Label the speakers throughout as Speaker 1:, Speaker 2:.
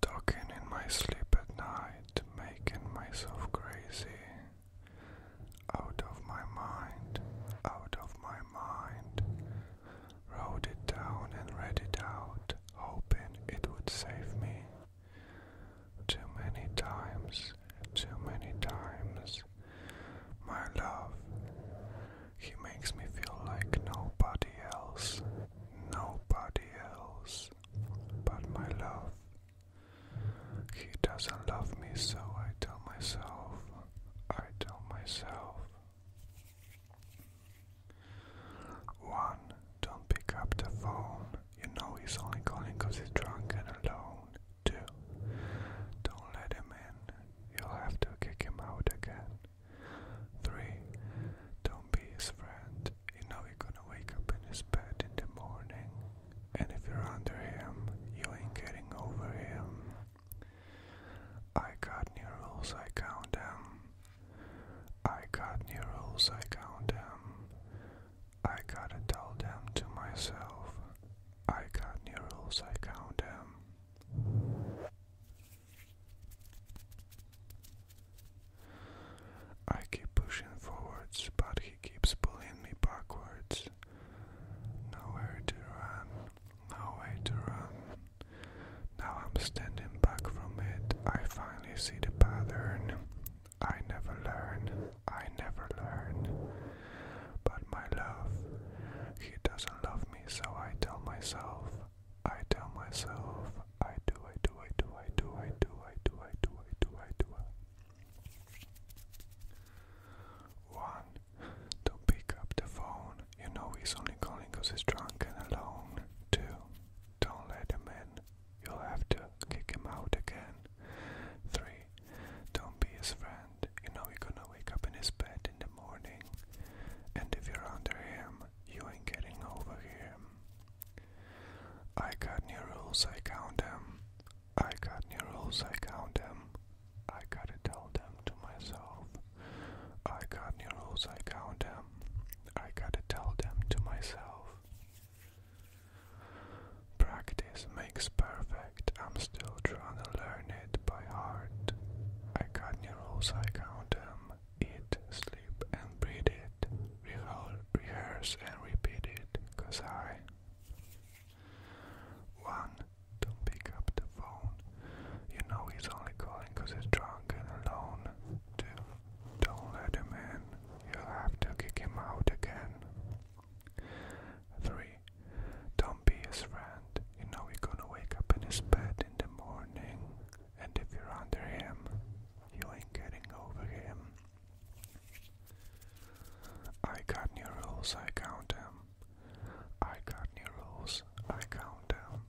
Speaker 1: Talking in my sleep at night, making myself crazy. Out of my mind, out of my mind. Wrote it down and read it out, hoping it would save me. Too many times, too many times, my love. He makes me feel like nobody else, nobody else, but my love. He doesn't love me, so I tell myself, I tell myself. 1. Don't pick up the phone. You know he's only calling because he's drunk and alone. 2. Don't let him in. You'll have to kick him out again. 3. Don't be his friend. You know you're gonna wake up in his bed in the morning. And if you're under him, you ain't getting over him. I got new rules, I count them. I got new rules, I count them. I gotta tell them to myself. I got new rules, I count them. I keep pushing forwards, but he keeps pulling me backwards. Nowhere to run, no way to run. Now I'm standing back from it. I finally see the pattern. I never learn. I never learn. But my love, he doesn't love me, so I tell myself. I tell myself. I do, I do, I do, I do, I do, I do, I do, I do, I do. One, don't pick up the phone. You know he's only calling because he's drunk and alone. Two, don't let him in. You'll have to kick him out again. 3. Don't be his friend. You know you're gonna wake up in his bed in the morning. And if you're under him, you ain't getting over him. I got new rules, I count them. I got new rules, I count them. I gotta tell them to myself. I got new rules, I count them. I gotta tell them to myself. Practice makes perfect. I'm still trying to learn it by heart. I got new rules, I count them. Eat, sleep, and breathe it. Reho rehearse and repeat it. Cause I. 1. pick up the phone. You know he's only calling he's drunk and alone. Don't let him in. You'll have to kick him out again. 3. Don't be his friend. You know you're gonna wake up in his bed in the morning, and if you're under him, you ain't getting over him. I got new rules, I count them. I got new rules, I count them.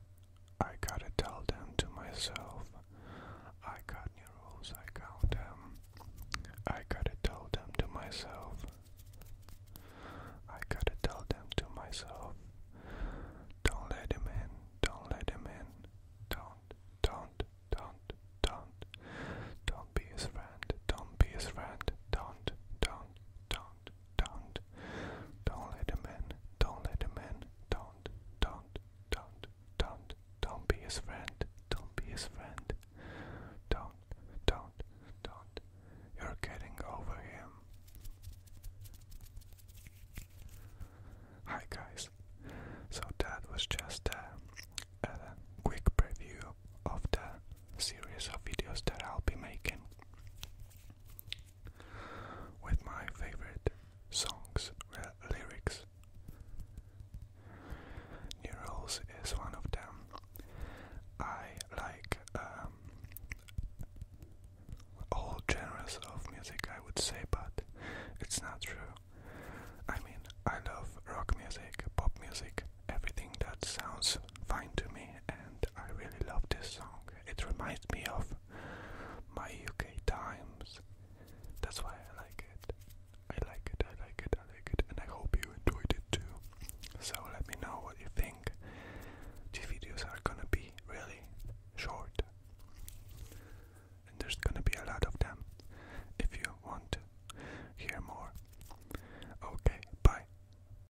Speaker 1: I gotta tell them to myself. I got new rules, I count them. I gotta tell them to myself. I gotta tell them to myself. Don't let him in, don't let him in. Don't, don't, don't, don't. Don't be his friend, don't be his friend. Don't, don't, don't, don't. Don't let him in. Don't let him in. Don't. Don't. Don't. Don't. Don't be his friend. Don't be his friend. Don't. Don't. Don't. You're getting over him. Hi guys. So that was just a, a quick preview of the series of videos that I'll be making with my favorite songs uh, lyrics. Neurals is one of them. I like um, all genres of music, I would say, but it's not true. I mean, I love rock music, pop music, everything that sounds fine to me, and I really love this song. It reminds me of my UK times. That's why I like it. I like it, I like it, I like it, and I hope you enjoyed it too. So let me know what you think. These videos are gonna be really short, and there's gonna be a lot of them if you want to hear more. Okay, bye.